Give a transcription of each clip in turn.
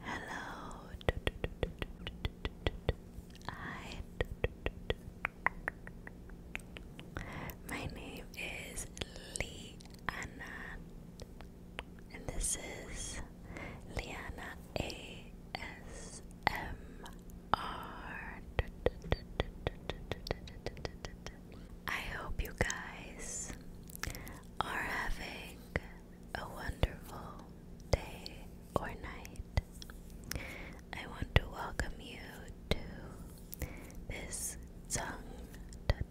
Hello. Hi. My name is Liana, and this is Liana ASMR. I hope you guys are having a wonderful day or night. I want to welcome you to this tongue, tongue,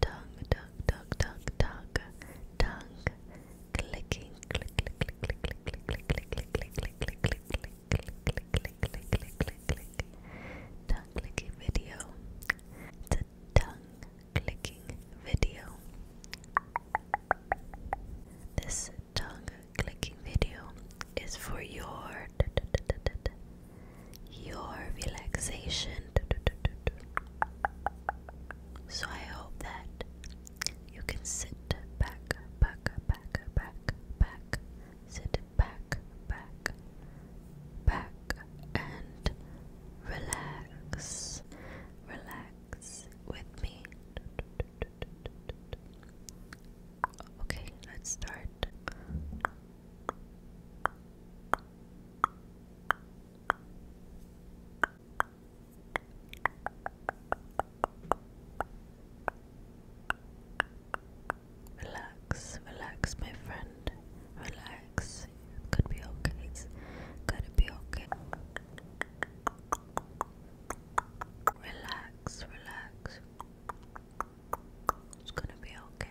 tongue, tongue, tongue, tongue, clicking, click, click, click, click, click, click, click, click, click, click, click, click, click, click, tongue clicking video. This tongue clicking video is for your your relaxation. So I hope that you can sit back, back, back, back, back, sit back, back, back, and relax, relax, relax with me. Okay, let's start. Relax, relax, my friend. Relax, it's could be okay. It's gonna be okay. Relax, relax. It's gonna be okay.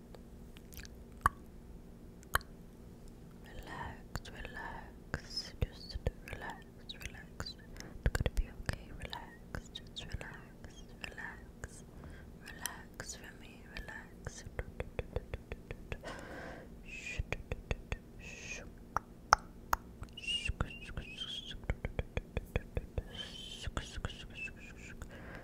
Relax, relax, just relax, relax. It's gonna be okay, relax, just relax, relax, relax for me, relax.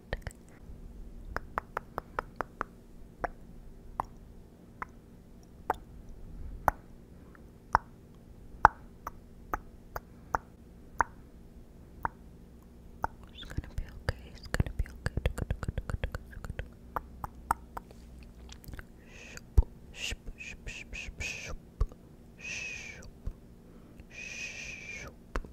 It's gonna be okay, it's gonna be okay. Shoop, shoop, shoop, shoop, shoop, shoop, shoop,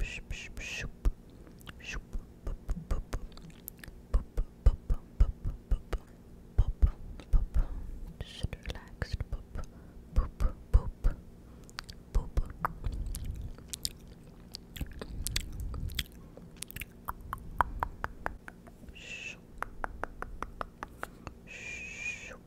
Just relaxed. Boop, boop, boop, boop. Shoop. Shoop. Shoop.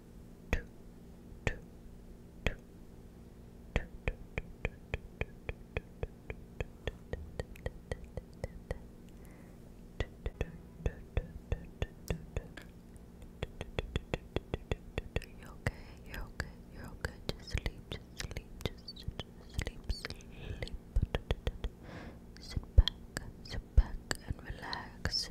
You're okay, you're okay, you're okay. Just sleep, just sleep, just sleep, sleep. Sit back, sit back and relax.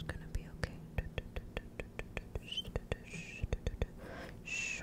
It's gonna be okay. Shh.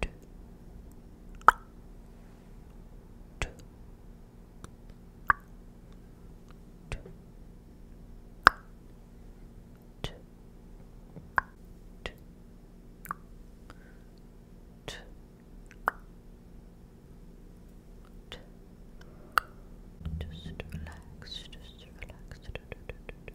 two, two, two, two, two, two, just relax, just relax. Do, do, do, do, do.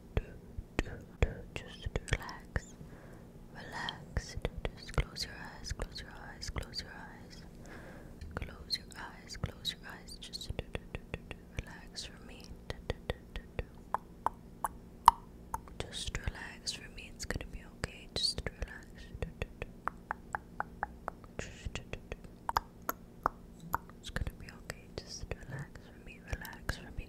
do, do, just relax, relax, just close your eyes, close your eyes, close your eyes, close your eyes, close your eyes, just do, do, do, do, relax for me, just relax for me, it's gonna be okay, just relax, Just, It's gonna be okay. Just relax for me. Relax for me.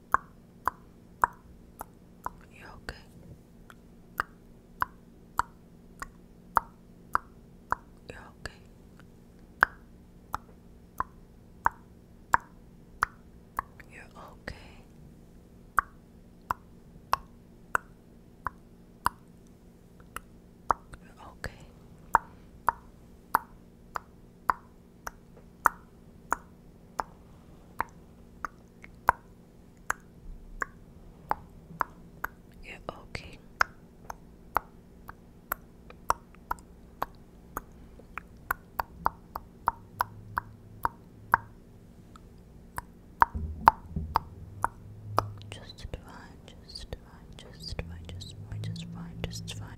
You okay? You okay? You're okay. You're okay you okay. Just fine, just fine, just fine, just fine, just fine, just fine.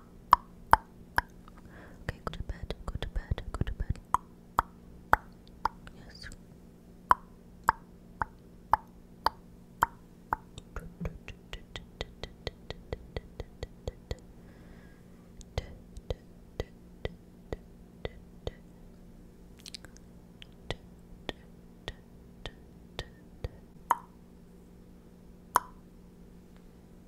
Okay, go to bed, go to bed, go to bed. Yes.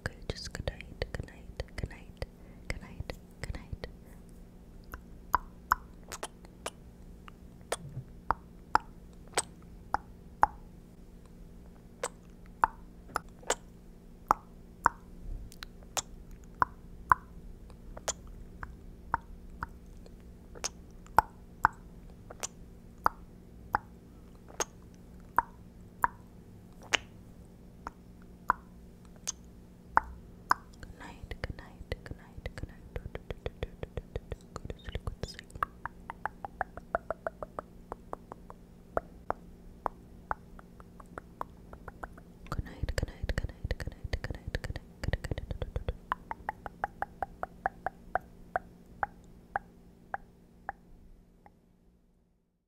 okay. Just good night, good night, good night, good night, good night. Good night, good night, good night, good night. Go to sleep, go Good night, good night, good night, good night, good night, good night, good night, good night, good night.